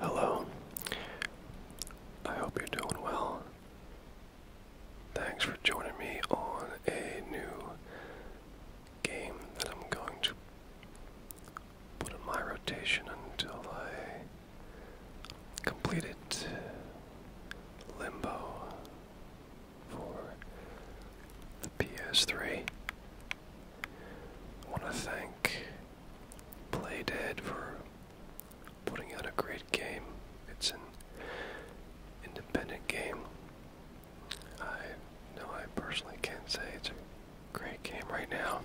Hello. I hope you're doing well. Thanks for joining me on a new game that I'm going to put in my rotation until I complete it. Limbo for the PS3. I want to thank Playdead for putting out a great game. It's an independent game. I know I personally can't say it's a great game right now,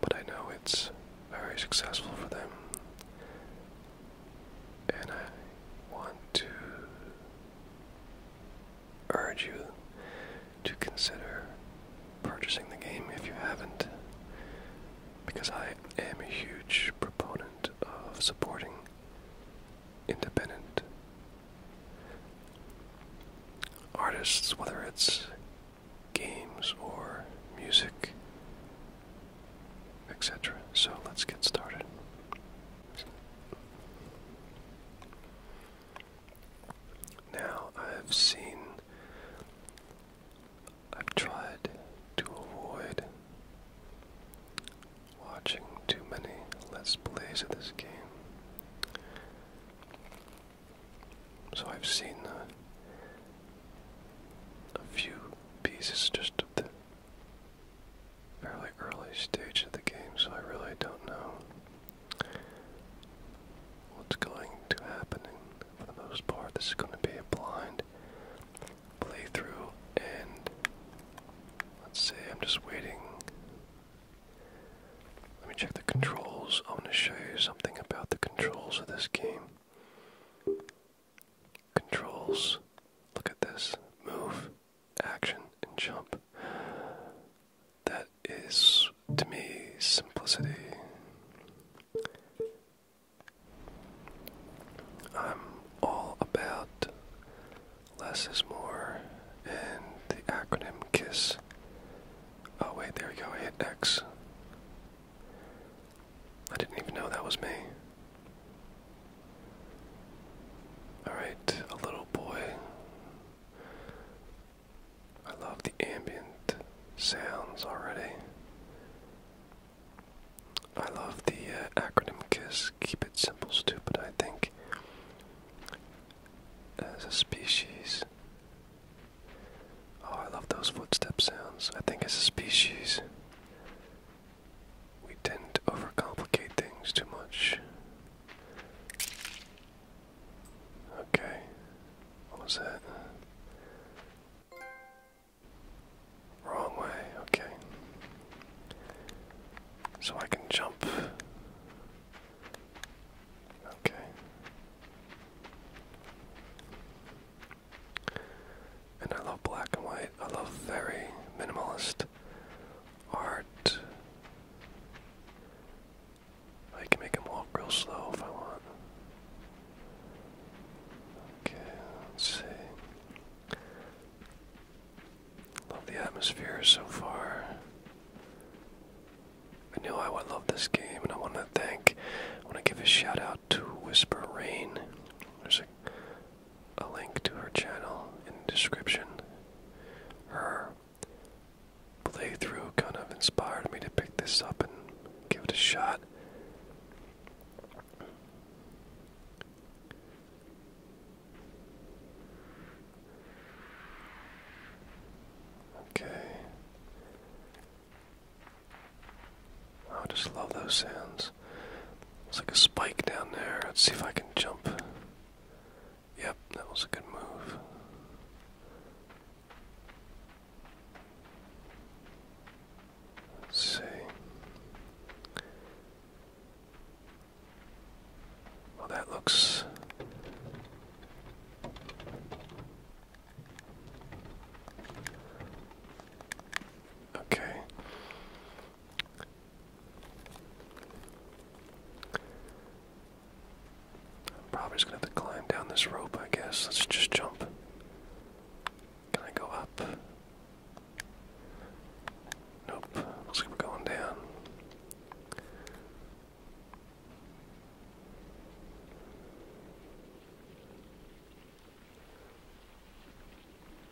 but I know it's very successful for them. And I want to urge you to consider purchasing the game if you haven't, because I am a huge proponent of supporting independent artists, whether it's games or music, etc. So let's get started. Now, I've seen, I've tried to avoid watching too many Let's Plays of this game. So I've seen uh, a few pieces just of the fairly early stage of the game, so I really don't know what's going to happen. for the most part, this is going to be a blind playthrough, and let's see, I'm just waiting. Let me check the controls. I want to show you something about the controls of this game. Controls. Look at this. Move, action, and jump. That is, to me, simplicity. I'm all about less is more and the acronym KISS. Oh, wait, there we go. I hit X. I didn't even know that was me. Alright, a little boy. I love the ambient sounds already. I love the uh, acronym KISS, keep it simple, stupid. I think as a species, oh, I love those footstep sounds. I think as a species, we tend to overcomplicate things too much. Okay. What was that? Wrong way. Okay. So I can jump. Okay. And I love black and white. I love very minimalist art. I can make him walk real slow if I want. Okay, let's see. Love the atmosphere so far. I knew I would love this game, and I want to thank, I want to give a shout out to Whisper Rain. There's a a link to her channel in the description. Her playthrough kind of inspired me to pick this up and give it a shot. Okay. Oh, I just love those sounds. It's like a spike down there. Let's see if I can jump. Yep, that was a good move. Let's see. Well, that looks. Okay. I'm probably just gonna have to climb down this rope, I guess. Let's just jump. Can I go up? Nope. Looks like we're going down.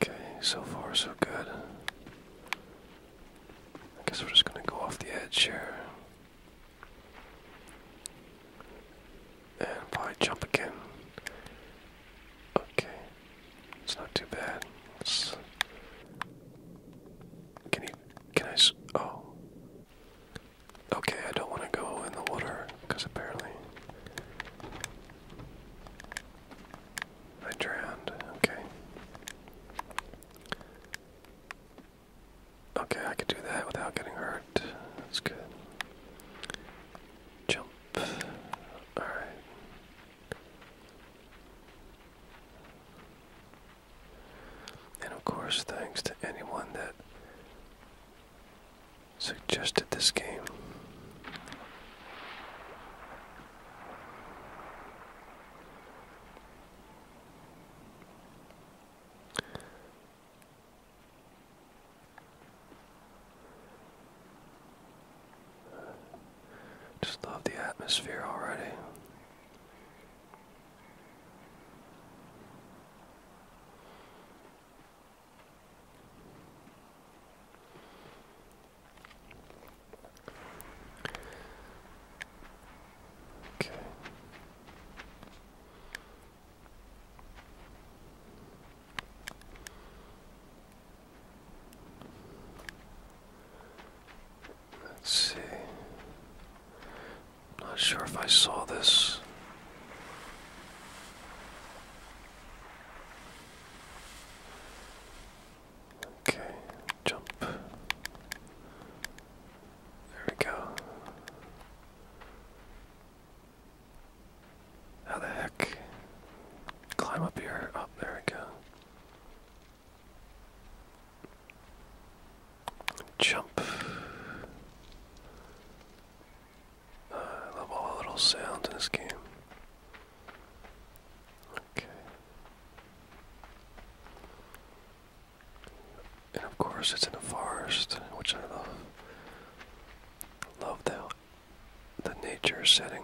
Okay, so far so good. I guess we're just going to go off the edge here. And probably jump again. Okay. It's not too bad. can you, can I, oh. Okay, I don't want to go in the water, because apparently I drowned. Okay. Okay, I could do that without getting hurt. That's good. Jump. Alright. And of course, thanks to anyone that suggested this game. Just love the atmosphere already. Okay. Let's see. not sure if I saw this. Okay, jump. There we go. How the heck? Climb up here. Up, oh, there we go. Jump. I uh, love all the little sounds in this game. Okay. And of course, it's in the forest, which I love. Love the the nature setting.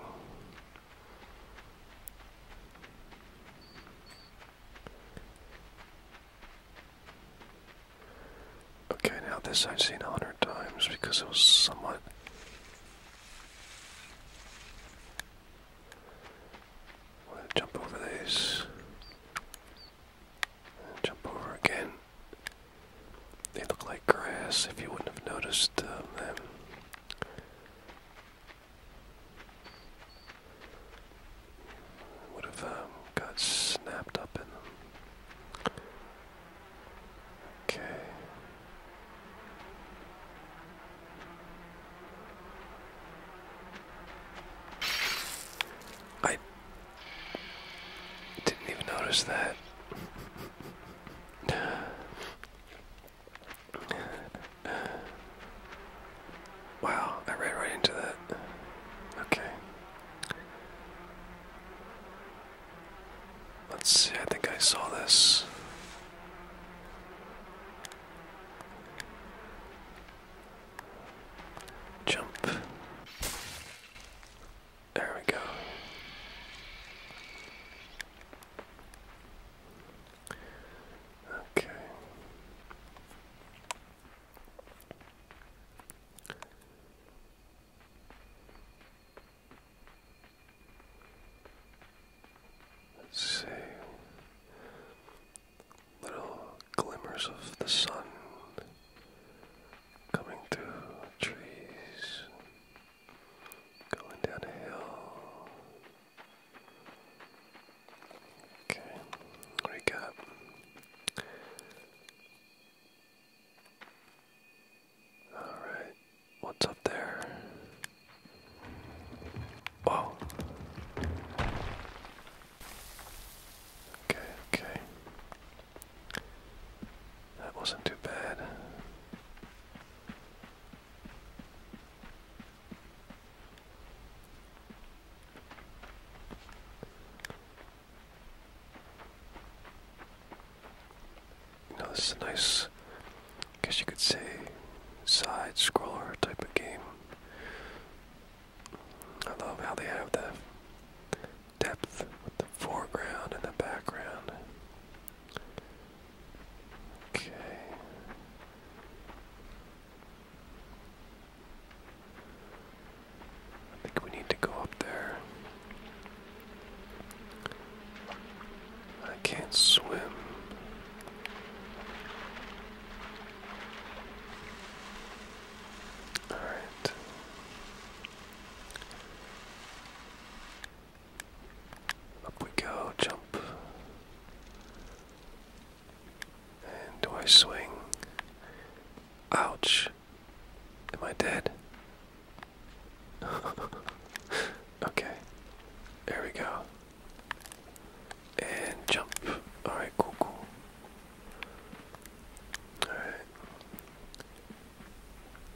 Okay, now this I've seen a hundred times because it was somewhat jump over these. jump over again. They look like grass if you wouldn't have noticed um, them. Would have um, got snapped up in them. Okay. I didn't even notice that. wow, I ran right into that. Okay. Let's see, I think I saw this. Jump. There we go. Okay. Let's see. Little glimmers of the sun coming through trees, going down a hill. Okay, what do Alright, what's up there? Wow. Okay, okay. That wasn't too bad. You know, nice guess you could say side scroller type of game. I love how they have the depth with the foreground and the background. Okay. I think we need to go up there. I can't swim. All right. Up we go, jump. And do I swing? Ouch. Am I dead? okay. There we go. And jump. Alright, cool, cool. Alright.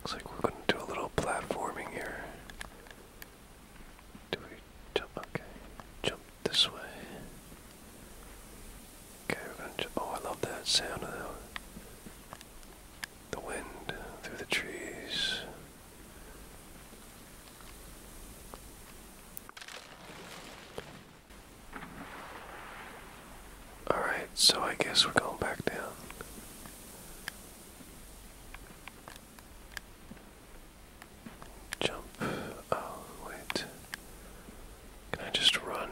Looks like we're going to do a little platforming here. Do we jump? Okay. Jump this way. Okay, we're going to jump. Oh, I love that sound of the, wind through the trees. Alright, so I guess we're going back down. Jump. Oh, wait. Can I just run?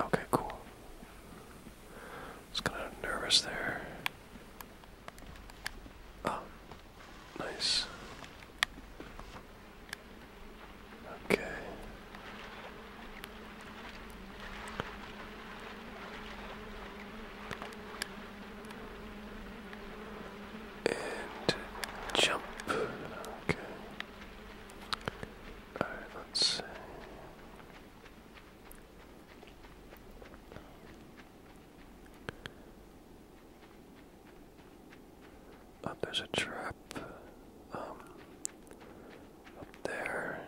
Okay, cool. I kind of nervous there. Oh, Nice. Okay. And jump. Okay. Alright, let's see. Oh, there's a trap um, up there.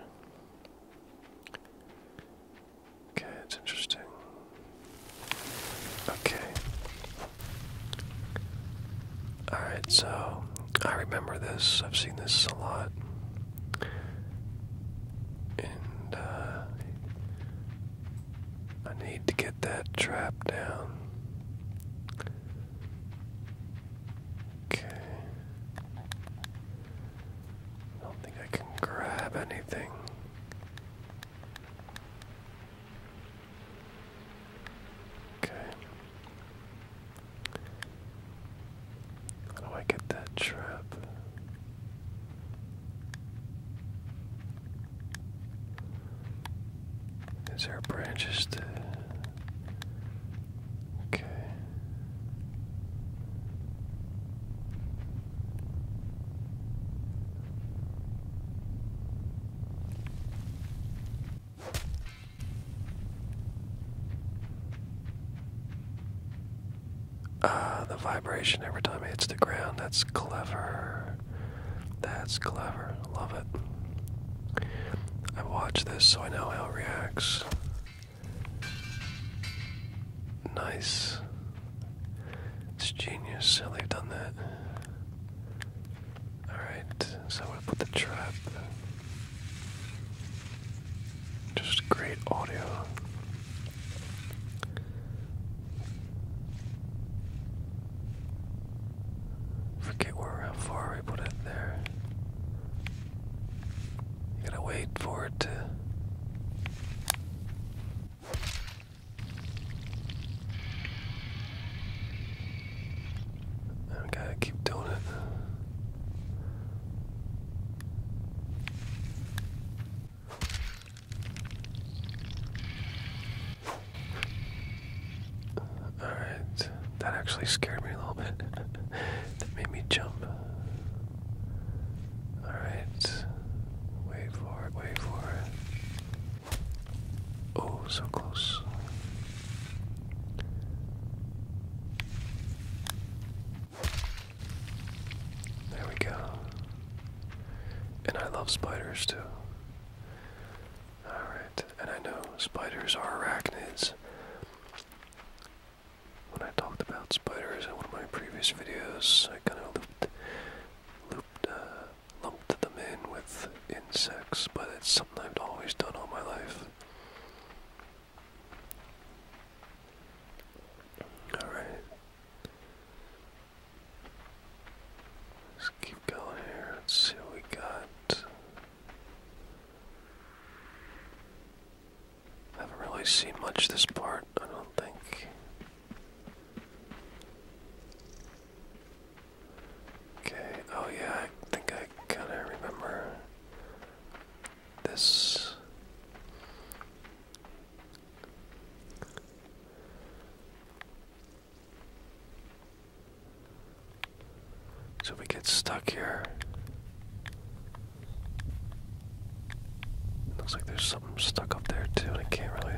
Okay, it's interesting. Okay. Alright, so I remember this. I've seen this a lot. And uh, I need to get that trap down. Okay. I don't think I can grab anything. Okay. How do I get that trap? Is there branches to. Okay. Ah, the vibration every time it hits the ground. That's clever. That's clever. Love it. I watch this so I know how it reacts. Nice. It's genius how they've done that. Alright, so i put the trap. Just great audio. Forget where how far we put it there. gotta wait for it to gotta keep doing it. Alright, that actually scared me a little bit. that made me jump. Alright, wait for it, wait for it. Oh, so close. There we go. And I love spiders too. Alright, and I know spiders are arachnids. When I talked about spiders in one of my previous videos, I kind of looped, uh, lumped them in with insects, but it's something I've always done all my life. Alright. Let's keep going here. Let's see what we got. I haven't really seen much this part, I don't think. Okay, oh yeah, I think I kinda remember this. So we get stuck here. Looks like there's something stuck up there too, and I can't really.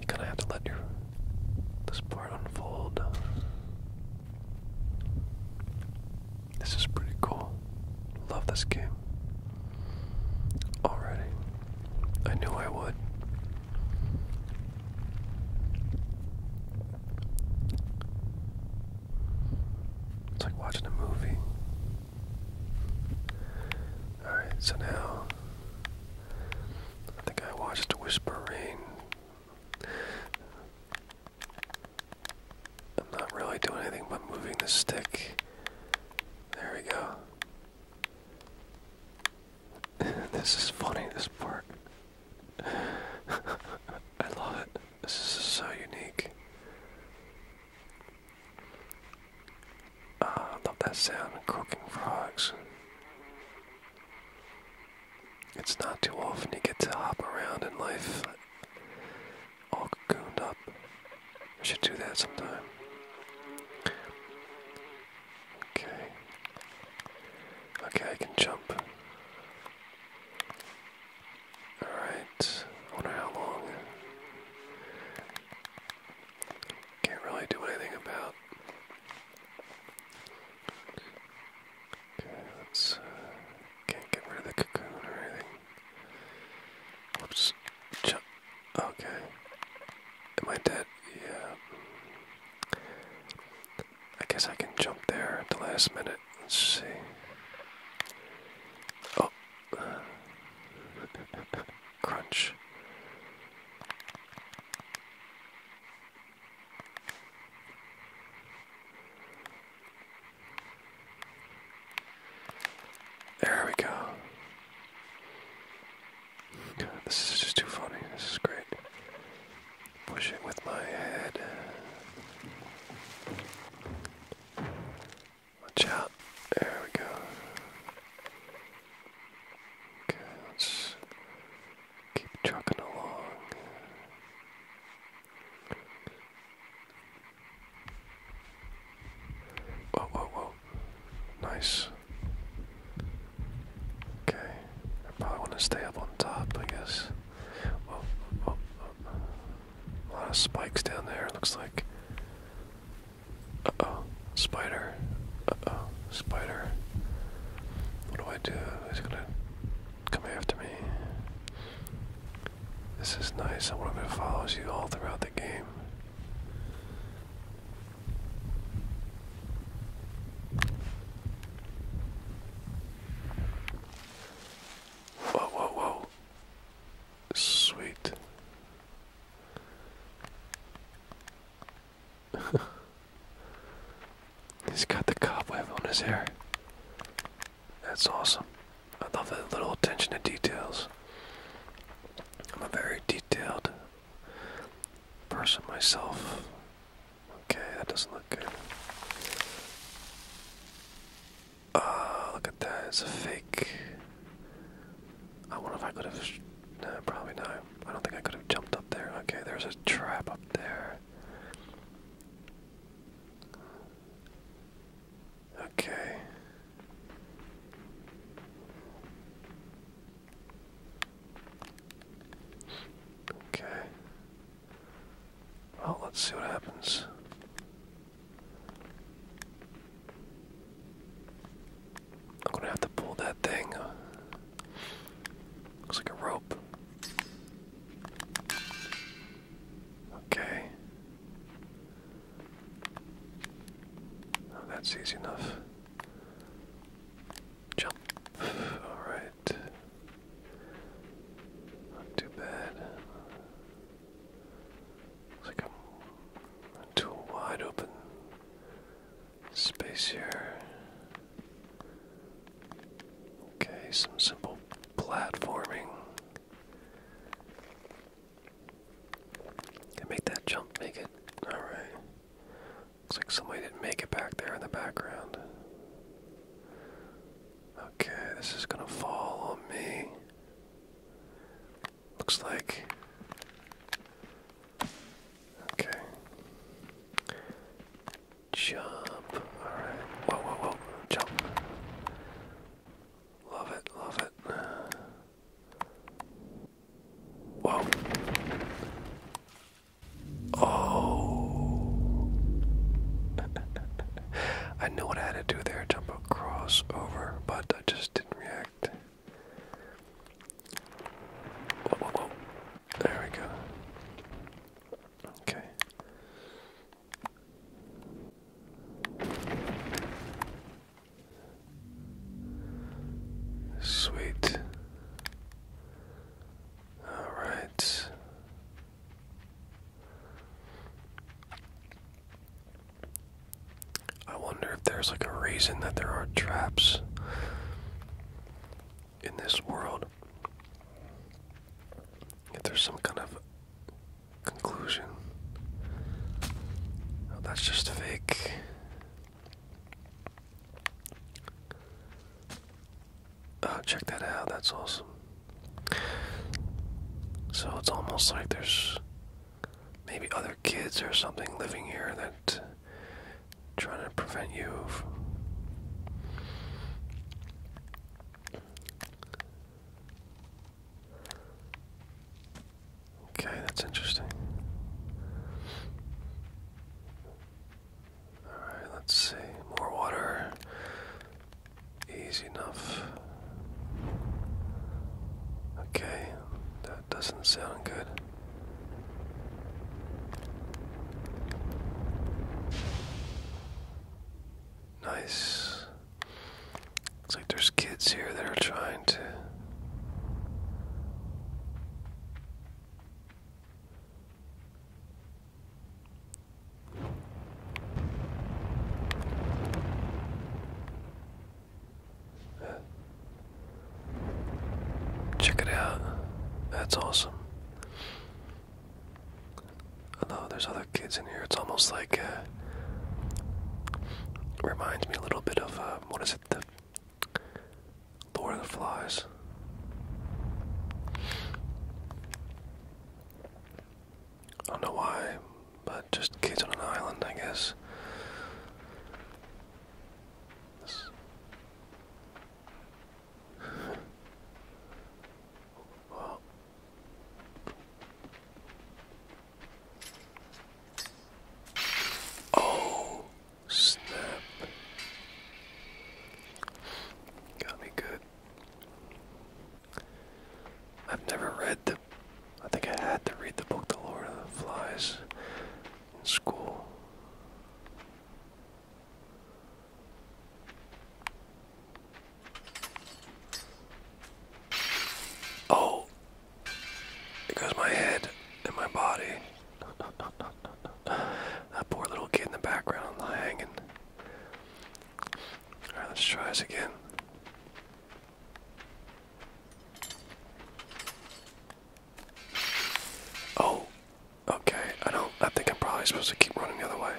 You kind of have to let this part unfold. This is pretty cool. Love this game. Already. I knew I would. It's like watching a movie. Alright, so now I think I watched Whisper I'm not really doing anything but moving the stick. There we go. this is funny, this part. I love it. This is so unique. Ah, I love that sound of cooking frogs. It's not too often you get to hop around in life all cocooned up. We should do that sometime. Okay. Okay, I can jump. Alright. wonder how long. Can't really do anything about. Okay, uh, can't get rid of the cocoon or anything. Whoops. Jump. Okay. Am I dead? Yeah. I guess I can jump there at the last minute. Let's see. Oh. Crunch. There we go. this is just too funny. This is great. Push with my head. Watch out. There we go. Okay, let's keep trucking along. Whoa, whoa, whoa. Nice. Okay. I probably want to stay up on top, I guess. Whoa, whoa, whoa. A lot of spikes down there, looks like. Uh oh. Spider. Uh oh. Spider. What do I do? He's gonna come after me. This is nice. I wonder if it follows you all throughout the game. Whoa, whoa, whoa. Sweet. He's got the cobweb on his hair. That's awesome. I love that little attention to details. I'm a very detailed person myself. Okay, that doesn't look good. Oh, look at that, it's a fake. I wonder if I could have. No, probably not. I don't think I could have jumped up there. Okay, there's a trap up there. Okay. Okay. Well, let's see what happens. I'm gonna have to pull that thing. Looks like a rope. Okay. Oh, that's easy enough. Jump. Alright. Not too bad. It's like i into a wide open space here. Okay, some simple platforming. Can make that jump, make it. Alright. Looks like somebody didn't make it back there in the background. Okay, this is gonna fall on me. Looks like. Okay. Jump. Alright. Whoa, whoa, whoa. Jump. Love it, love it. Whoa. Oh. I knew what I had to do there, jump across over, but I just didn't react. There we go. Okay. Sweet. All right. I wonder if there's like a reason that there are traps in this world. If there's some kind of conclusion. Oh, that's just fake. Oh, check that out. That's awesome. So it's almost like there's maybe other kids or something living here that trying to prevent you from Okay, that's interesting. Alright, let's see. More water. Easy enough. Okay, that doesn't sound good. Nice. Looks like there's kids here that are trying to. Check it out. That's awesome. Although there's other kids in here, it's almost like uh, reminds me a little bit of um, what is it, the Lord of the Flies. I don't know why, but just kids on an island, I guess. Oh, snap. Got me good. I've never read the. I think I had to read the book, The Lord of the Flies, in school. Oh, it my head and my body. that poor little kid in the background hanging. Alright, let's try this again. Oh, okay. I don't. I think I'm probably supposed to keep running the other way.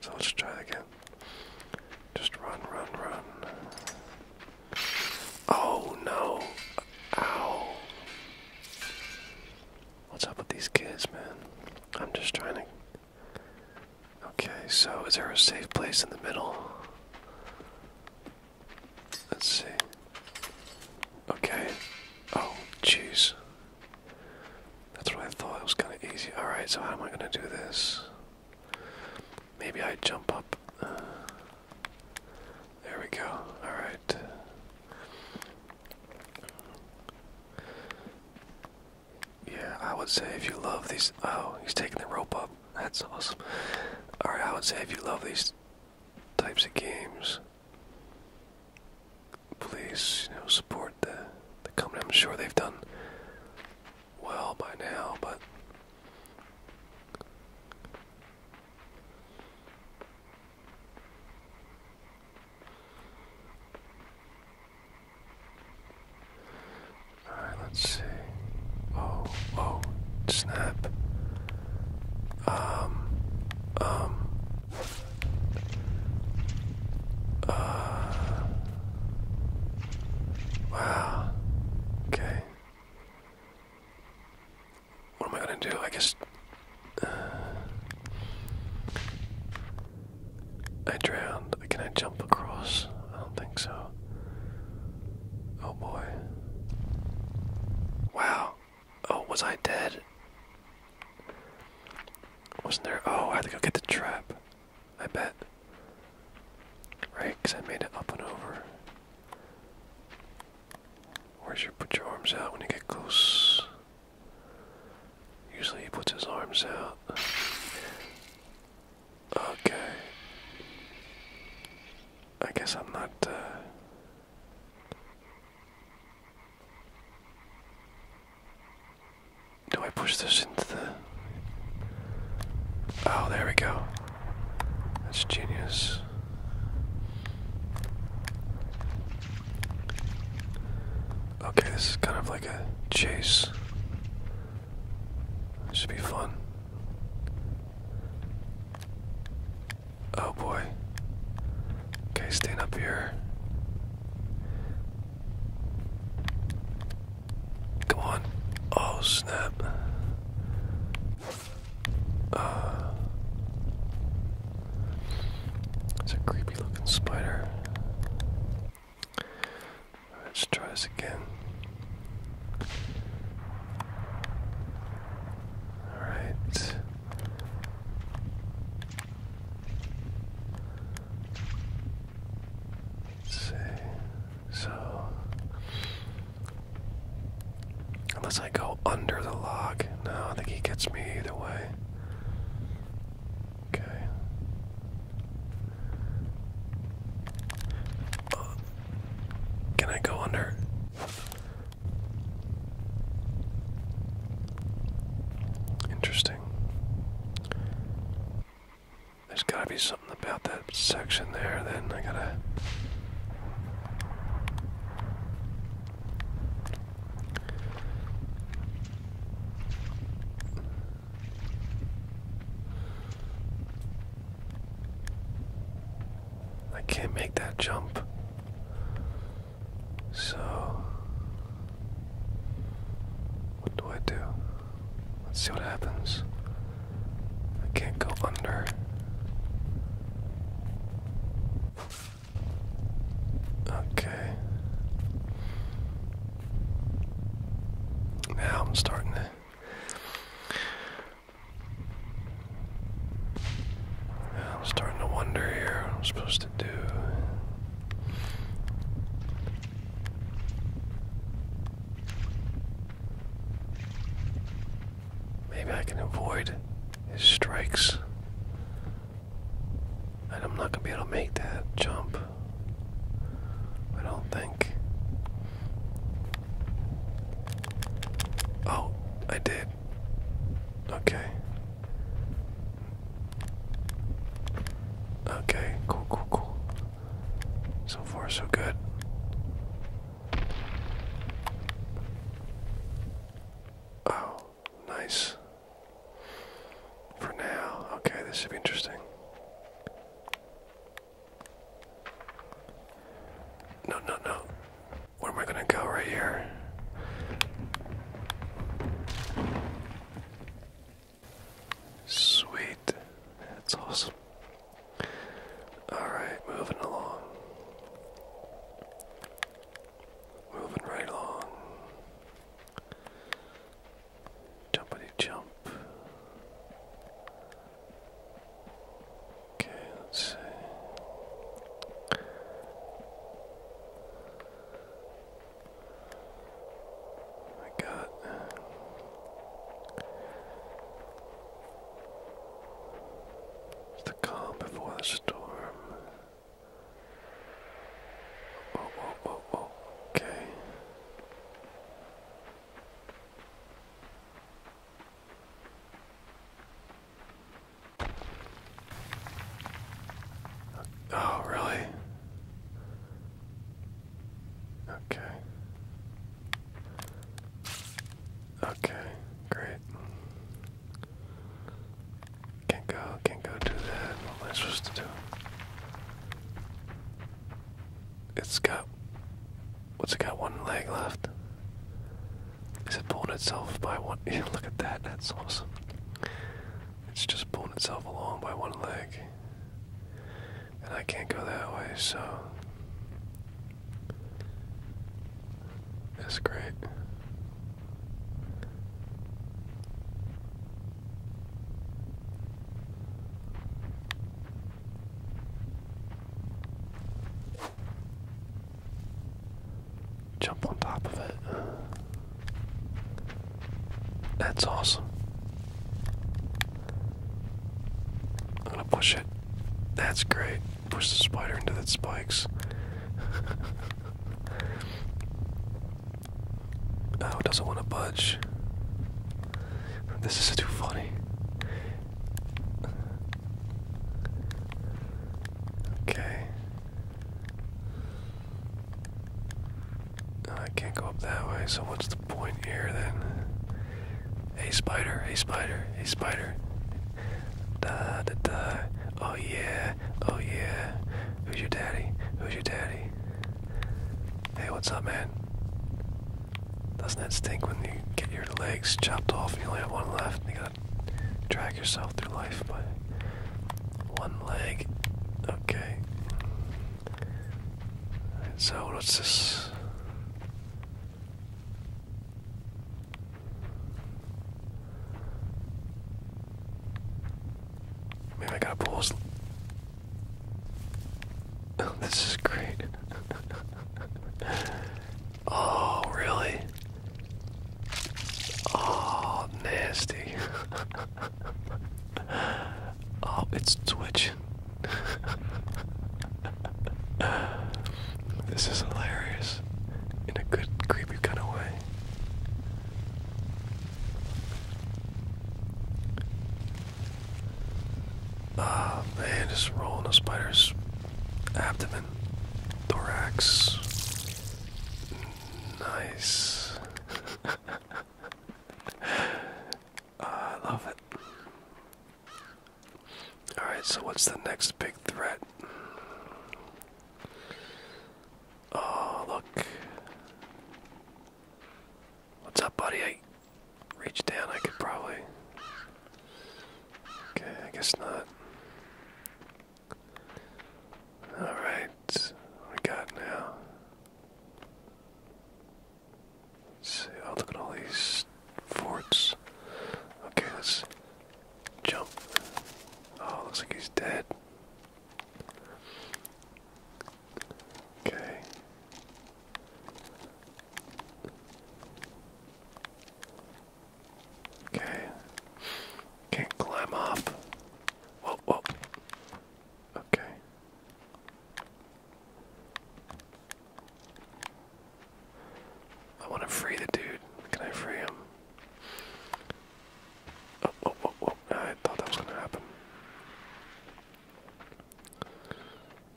So let's try it again. Just run, run, run. Oh no! Ow! What's up with these kids, man? I'm just trying to. Okay, so is there a safe place in the middle? Let's see. Okay. Oh, jeez. That's what I thought. It was kind of easy. Alright, so how am I going to do this? Maybe I jump up. Uh, there we go. Alright. Yeah, I would say if you love these. Oh, he's taking the rope up. That's awesome. Alright, I would say if you love these types of games, please, you know, support the the company. I'm sure they've done well by now, but all right, let's see. Oh, oh, snap. Um, um. Uh, wow. Okay. What am I gonna do? I guess. Uh, I drowned. Can I jump across? I don't think so. Oh boy. Wow. Oh, was I dead? Wasn't there? Oh, I had to go get the trap. I bet. Right, because I made it up and over. Where's your put your arms out when you get close? Usually he puts his arms out. Okay. I guess I'm not, uh, do I push this into the. Oh, there we go. That's genius. Okay, this is kind of like a chase. This should be fun. Oh boy. Okay, staying up here. Come on. Oh, snap. Uh, it's a creepy looking spider. Let's try this again. Alright. Let's see. So unless I go under the log, no, I think he gets me either way. Okay. Uh, can I go under? Interesting. There's gotta be something about that section there, then I gotta. I can't make that jump. So what do I do? Let's see what happens. I can't go under. Okay. Now I'm starting to. I'm starting to wonder here what I'm supposed to do. Maybe I can avoid his strikes. I'm not going to be able to make that jump. I don't think. Oh, I did. Okay. Okay, cool, cool, cool. So far, so good. Oh, nice. For now. Okay, this should be interesting. No, no, no. Where am I gonna go right here? Sweet. That's awesome. Alright, moving along. Moving right along. Jumpity jump. Okay, let's see. I got uh, the calm before the storm. Oh, oh, oh, oh okay. Oh, really? Okay. Okay, great. Can't go, can't go do that. What am I supposed to do? It's got. What's it got? One leg left. Is it pulling itself by one? Yeah, look at that. That's awesome. It's just pulling itself along by one leg. And I can't go that way, so. That's great. Jump on top of it. That's awesome. I'm gonna push it. That's great. Push the spider into the spikes. oh, it doesn't want to budge. This is too funny. Okay. Uh, I can't go up that way, so what's the point here then? Hey spider, hey spider, hey spider. Da da da. Oh yeah, oh yeah. Who's your daddy? Who's your daddy? Hey, what's up, man? Doesn't that stink when you get your legs chopped off and you only have one left and you gotta drag yourself through life but. One leg. Okay. So what's this? Maybe I gotta pull. this is great. oh, really? Oh, nasty. oh, it's twitching. this is hilarious in a good, creepy kind of way. Ah, man, just rolling a spider's abdomen, thorax. Nice. I love it. Alright, so what's the next big threat? Oh, look. What's up, buddy? I reach down, I could probably. Okay, I guess not. Alright minutes we got now. oh, look at all these forts. Okay, let's jump. Oh, looks like he's dead. Okay. Okay. Can't climb up. Whoa, whoa. Okay. I want to free the dude. Can I free him? Oh, oh, oh, oh. I thought that was going to happen.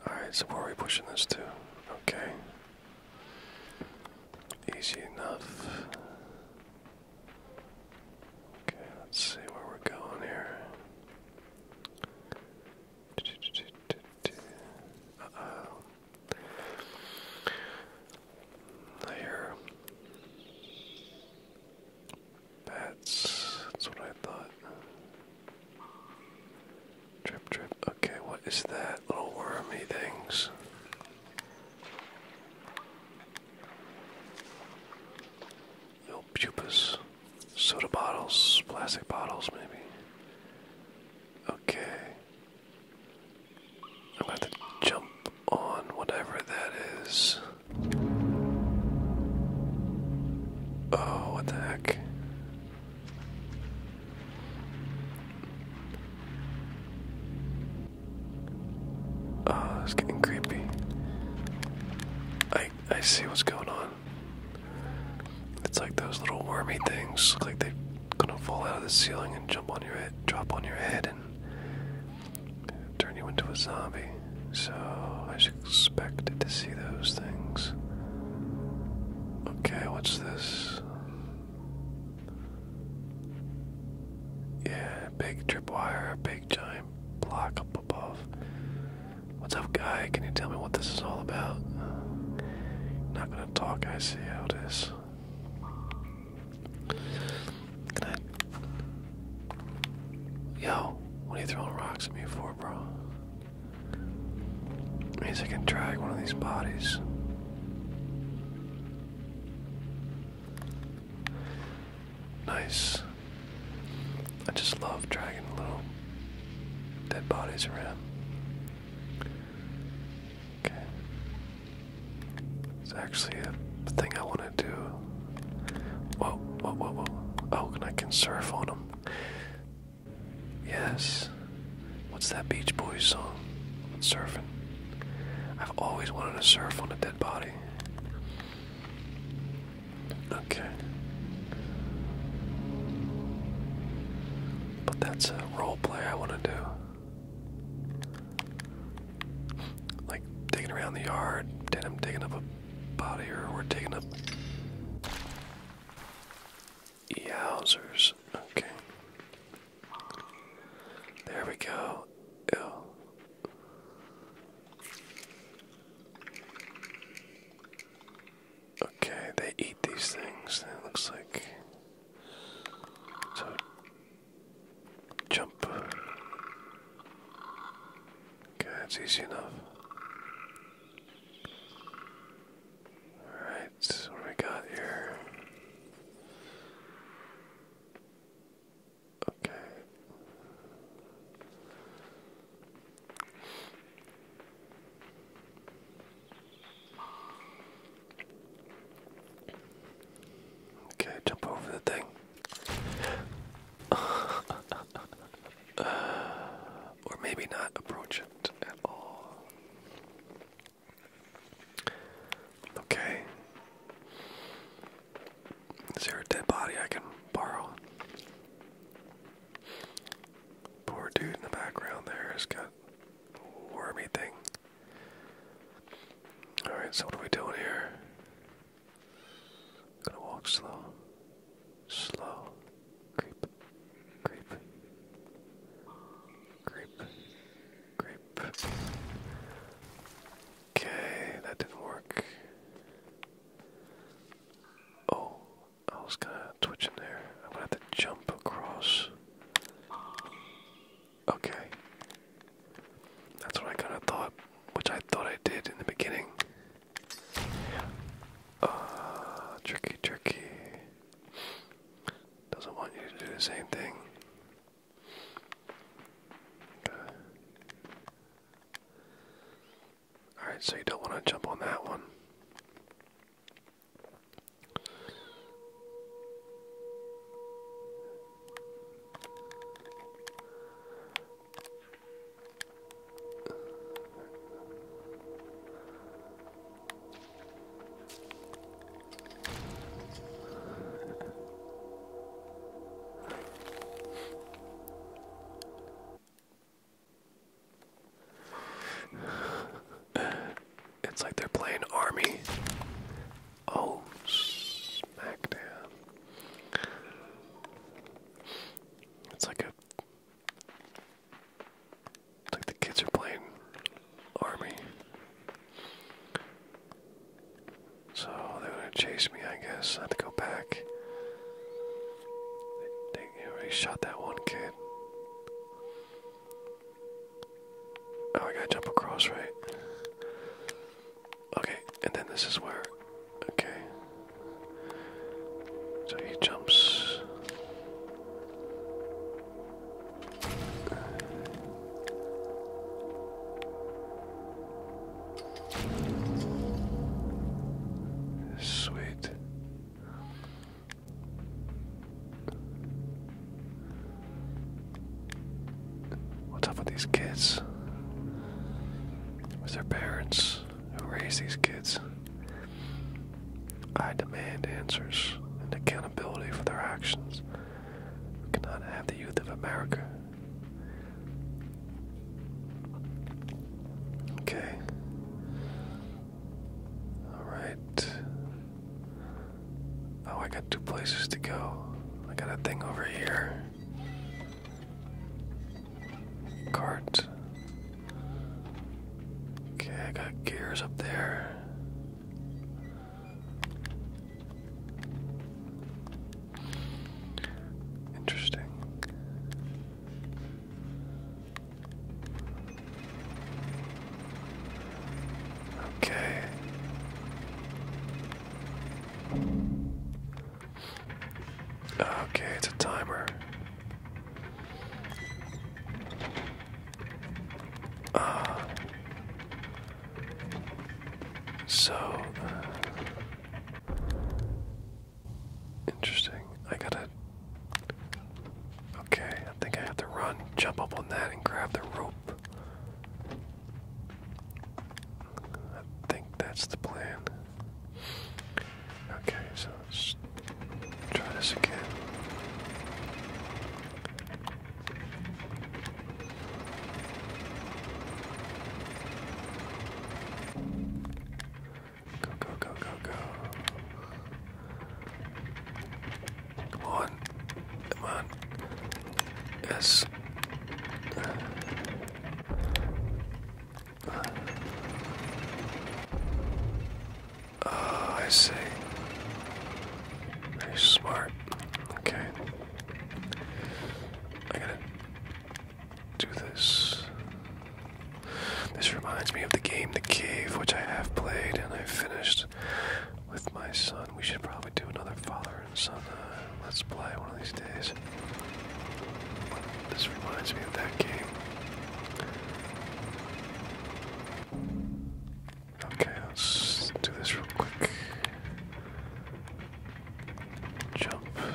Alright, so where are we pushing this to? Okay. Easy enough. Okay, let's see where we're going here. Uh bats. That's what I thought. Trip, trip. Okay, what is that? Little wormy things. Little pupas. Soda bottles, plastic bottles, maybe. Okay. I'm going to jump on whatever that is. Oh, what the heck? Oh, it's getting creepy. I I see what's going on. It's like those little wormy things. Look like they're gonna fall out of the ceiling and jump on your head, drop on your head, and turn you into a zombie. So I was expected to see those things. Okay, what's this? Yeah, big tripwire, big giant block up above. What's up, guy? Can you tell me what this is all about? Not gonna talk, I see how it is. Can Yo, what are you throwing rocks at me for, bro? Means I can drag one of these bodies nice. I just love dragging little dead bodies around. Okay. It's actually a thing I want to do. Whoa, whoa, whoa, whoa. Oh, and I can surf on them. Yes. What's that Beach Boys song? Surfing. I've always wanted to surf on a dead body. Okay. But that's a role play I want to do. Like digging around the yard, then I'm digging up a body, or we're digging up. Yowzers. Okay. There we go. Oh, Okay, they eat these things. It looks like. So. Jump. Okay, that's easy enough. Alright, we got here? Okay. Okay, jump over the thing. or maybe not approach it at all. Okay. Is there a dead body I can borrow? Poor dude in the background there has got wormy thing. Alright, so what are we doing here? gonna walk slow. Slow. Creep. Creep. Creep. Creep. Okay, that didn't work. Oh, I was gonna twitch in there. I'm gonna have to jump across. Okay. That's what I kinda thought, which I thought I did in the beginning. Uh, tricky, tricky. Doesn't want you to do the same thing. Alright, so you don't want to jump on that one. It's like they're playing army. Oh, smack down. It's like a. like the kids are playing army. So they're gonna chase me, I guess. I have to go back. They, they already shot that one kid. Oh, I gotta jump across, right? Okay, and then this is where. Okay. So he jumps. Sweet. What's up with these kids? With their parents who raise these kids? I demand answers and accountability for their actions. We cannot have the youth of America Okay. Alright. Oh, I got two places to go. I got a thing over here. Cart. Okay, I got gears up there. Interesting. Okay. Okay, it's a timer. Ah. So, uh, interesting. I gotta. Okay, I think I have to run, jump up on that, and grab the rope. I think that's the plan. Okay, so let's try this again. Go, go, go, go, go. Come on. Come on. Yes. Uh, I see. Very smart. Okay. I gotta do this. This reminds me of the game The Cave, which I have played and I finished with my son. We should probably do another father and son uh, let's play one of these days. This reminds me of that game. Okay, let's do this real quick. Jump. Okay.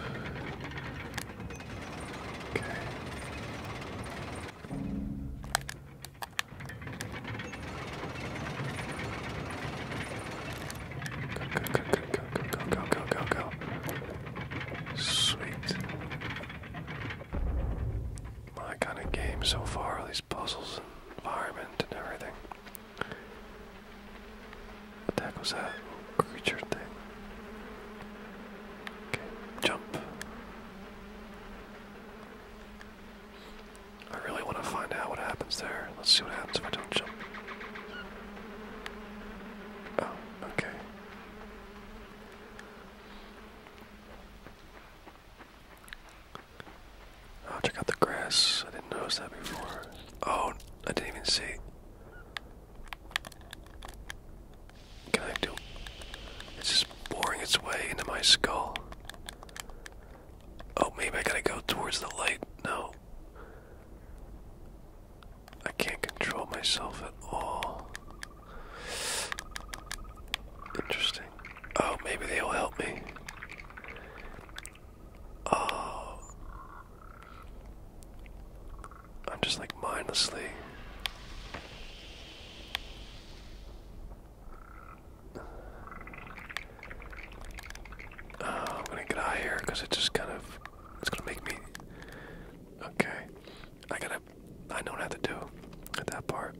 Go, go, go, go, go, go, go, go, go, go. Sweet. My kind of game so far, all these puzzles and environment and everything. What the heck was that creature thing? Okay, jump. I really want to find out what happens there. Let's see what happens if I don't jump. Oh, okay. Oh, check out the grass. I didn't notice that before. Oh, I didn't even see. Can I do? It's just boring its way into my skull. Oh, maybe I gotta go towards the light. No. I can't control myself at all. Interesting. Oh, maybe they'll help me. Oh. I'm just like mindlessly. Oh, I'm gonna get out of here because it just kind of it's gonna make me okay. I gotta I know what I have to do at that part.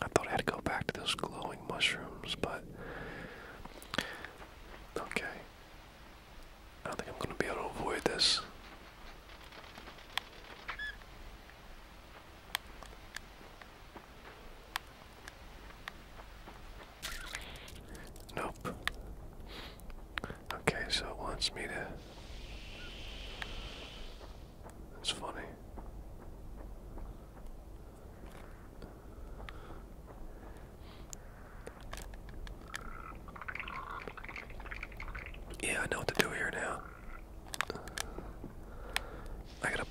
I thought I had to go back to those glowing mushrooms, but Okay. I don't think I'm going to be able to avoid this. Nope. Okay, so it wants me to. That's funny. Yeah, I know what to do here now. I gotta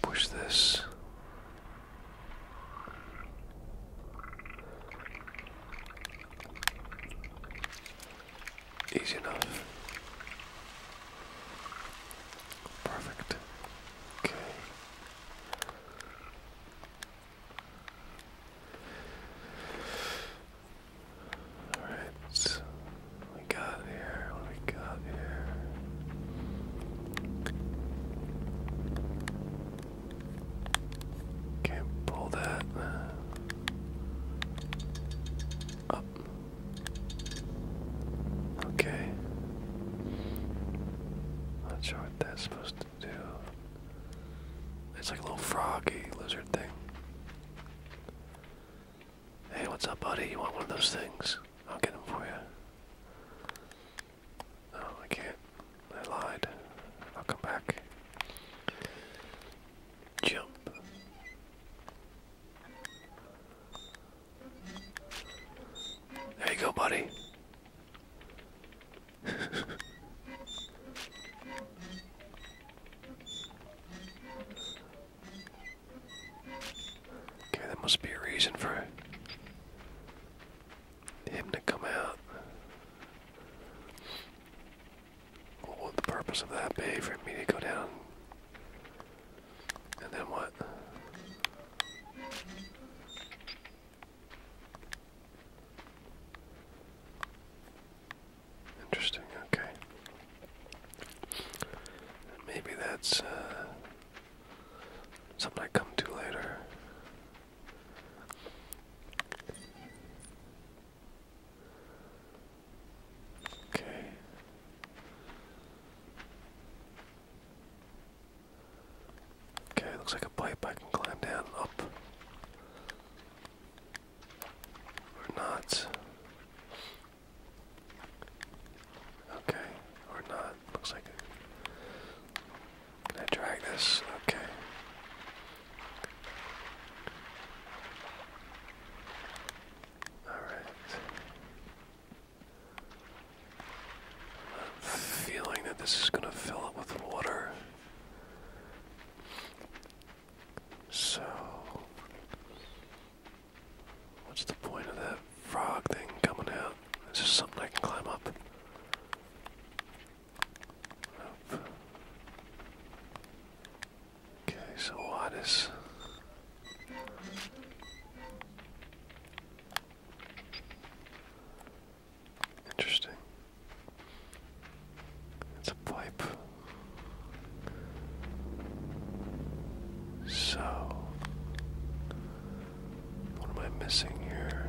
push this. Easy enough. Perfect. Okay. All right. we got here? we got here? Can't pull that up. Okay. Not sure what that's supposed to do. It's like a little froggy lizard thing. Hey, what's up, buddy? You want one of those things? I'll get them for you. No, I can't. I lied. I'll come back. Jump. There you go, buddy. okay, there must be a reason for him to come out. What would the purpose of that be for me to go down and then what? Interesting, okay. Maybe that's uh, something I come to later. Okay. Okay, looks like a pipe I can climb down up. Or not. Okay, or not. Looks like it. Can drag this? Okay. Alright. I'm feeling that this is going to fill up with water. So, what's the point of that frog thing coming out? Is this something I can climb up? Nope. Okay, so what is Interesting. It's a pipe. So, what am I missing here?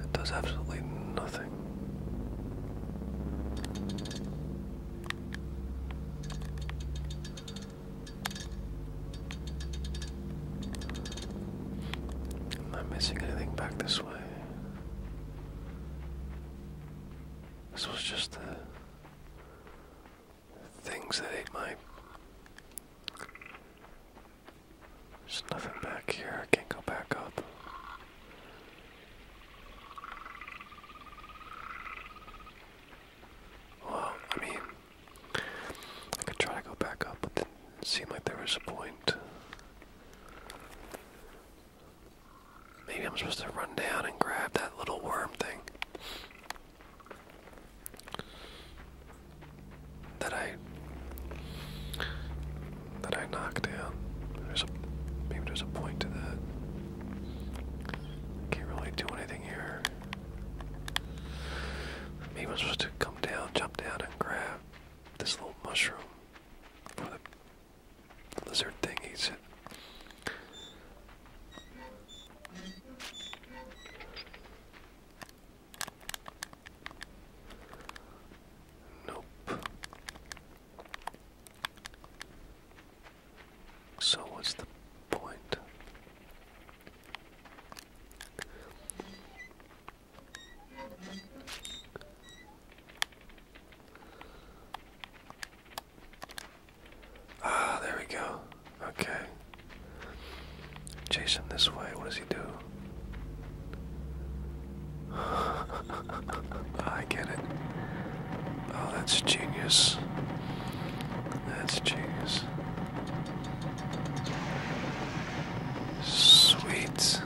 It does absolutely nothing. I'm not missing anything back this way. This was just things that ate my there's nothing back here. I can't go back up. Well, I mean, I could try to go back up, but didn't seem like there was a point. Maybe I'm supposed to run down and grab that little worm thing that I that I knocked down. There's a maybe there's a point to that. Can't really do anything here. Maybe I'm supposed to come down, jump down, and grab this little mushroom before the lizard thing eats it. Nope. So, what's the point? Ah, there we go. Okay. Jason, this way. What does he do? I get it. Oh, that's genius. That's genius. Sweet.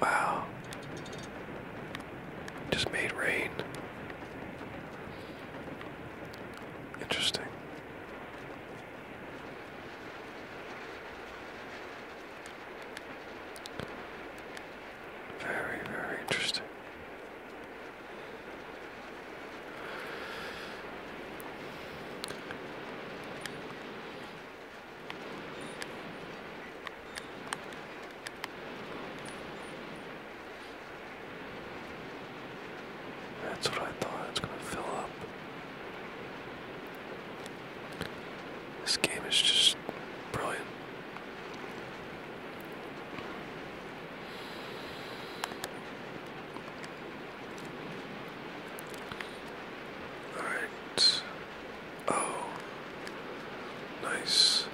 Wow. Just made rain. Interesting. Very, very interesting. That's what I thought. It's going to fill up. This game is just brilliant. All right. Oh, nice.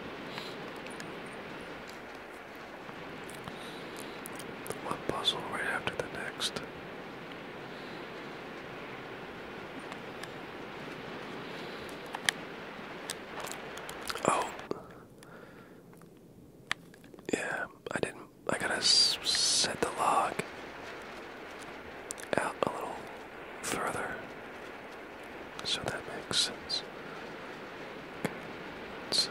One puzzle right after the next. Oh, yeah, I didn't. I gotta set the log out a little further. So that makes sense. Let's, uh,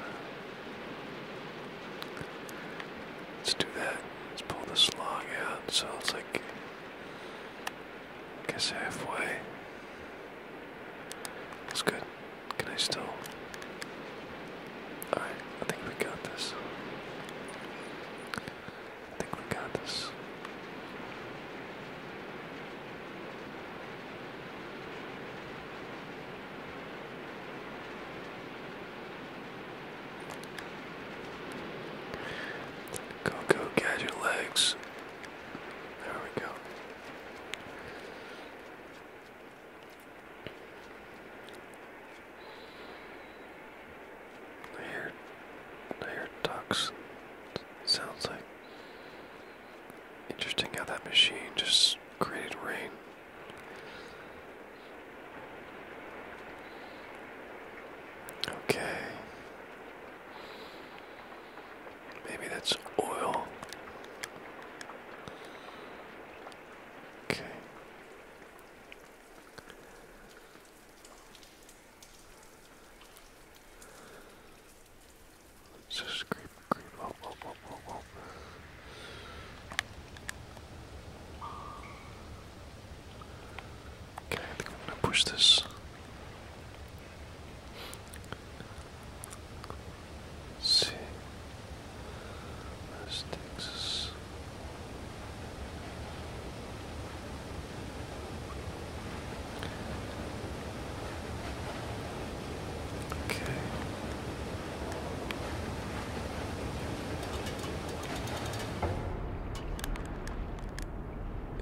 do that. Let's pull this long out. So it's like, I guess halfway. That's good. Can I still? Alright, I think we got this. I think we got this. Go, go, get legs. There we go. I hear, I hear ducks. Sounds like interesting how that machine just created rain. Okay. Maybe that's oil. Okay. Let's just creep, creep, up, up, up, up, up. Okay, I am gonna push this. see, this Okay.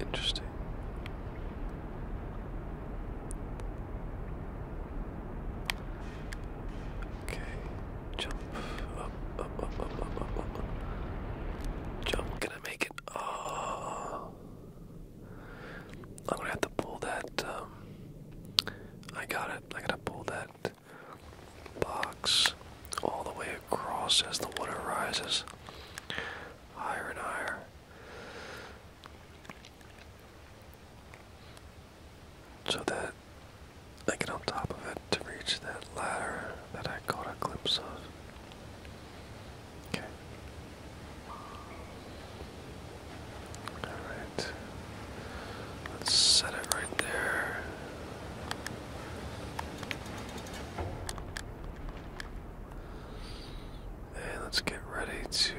Interesting. Okay, jump up, up, up, up, up, up, up. Jump, gonna make it. Oh. I'm gonna have to pull that. Um, I got it. I gotta pull that box all the way across as the water rises higher and higher. So that I get on top of it to reach that ladder that I caught a glimpse of. Okay. Alright. Let's set it right there. And let's get ready to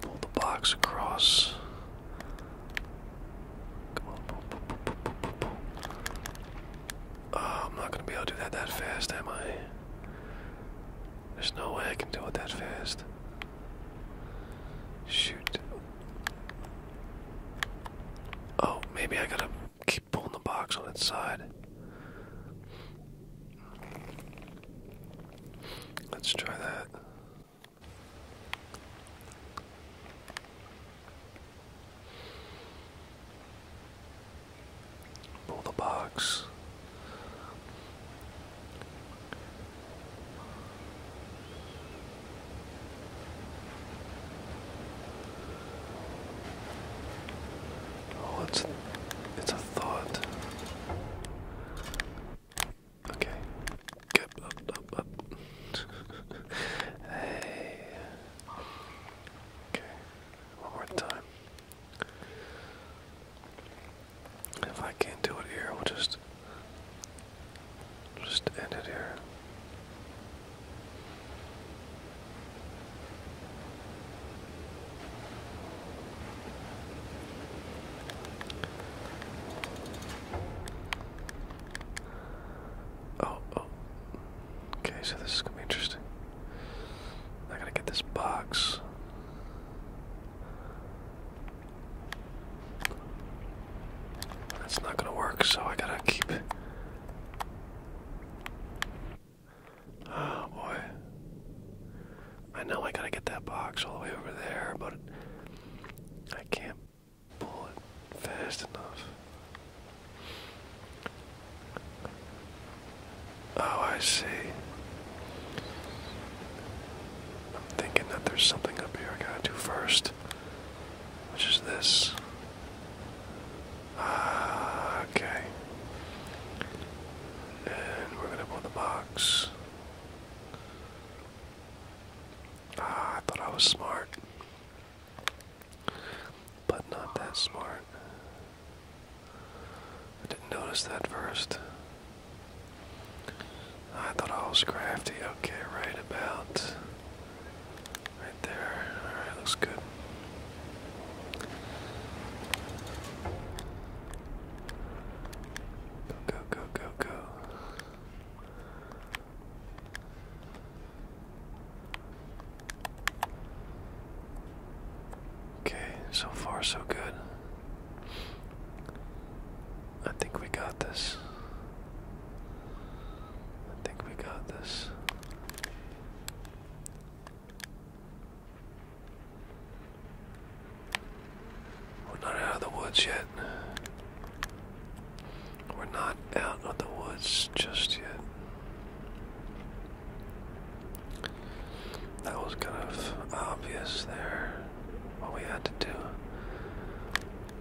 pull the box across. Oh, I'm not gonna be able to do that that fast, am I? There's no way I can do it that fast. Shoot. Oh, maybe I gotta keep pulling the box on its side. Let's try that. Pull the box. Oh, it's it's a thought. Okay. Up, hey. Okay. One more time. If I can't do it here, we'll just just end it here. Oh, oh. Okay, so this is gonna be interesting. I gotta get this box. That's not gonna work, so I gotta keep. Oh boy. I know I gotta get that box all the way over there, but I can't bullet fast enough. Oh, I see. I'm thinking that there's something up here I gotta do first, which is this. Ah, okay. And we're gonna put the box. Ah, I thought I was smart but not that smart. I didn't notice that first. I thought I was crafty. Okay, right about right there. Alright, looks good. Go, go, go, go, go. Okay, so far so good. I think we got this. I think we got this. We're not out of the woods yet. We're not out of the woods just yet. That was kind of obvious there. What we had to do.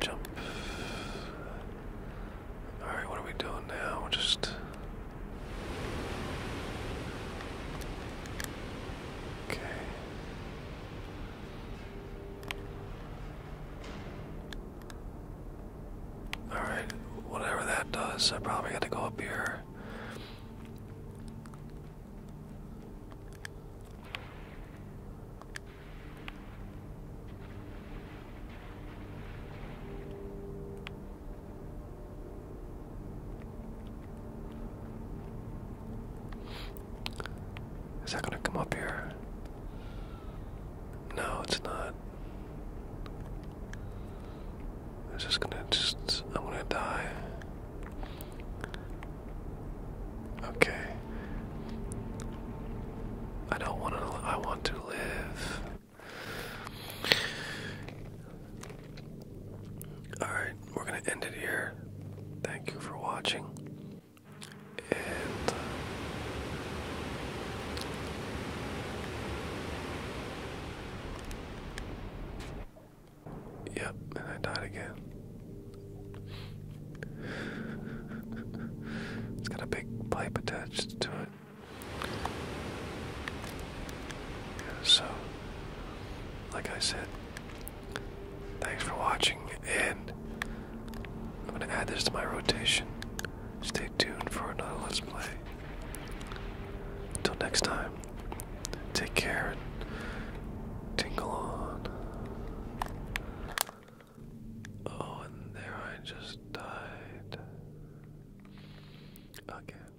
Jump. Alright, what are we doing now? We're just. Okay. Alright, whatever that does, I probably got to go up here. Is that going to come up here? No, it's not. It's just gonna just I'm gonna die. Okay. I don't want to. I want to live. All right, we're gonna end it here. Thank you for watching and yep, and I died again. it's got a big pipe attached to it. So, like I said, thanks for watching, and I'm gonna add this to my rotation. Stay tuned for another Let's Play. Until next time, take care and tingle on. Oh, and there I just died. Again.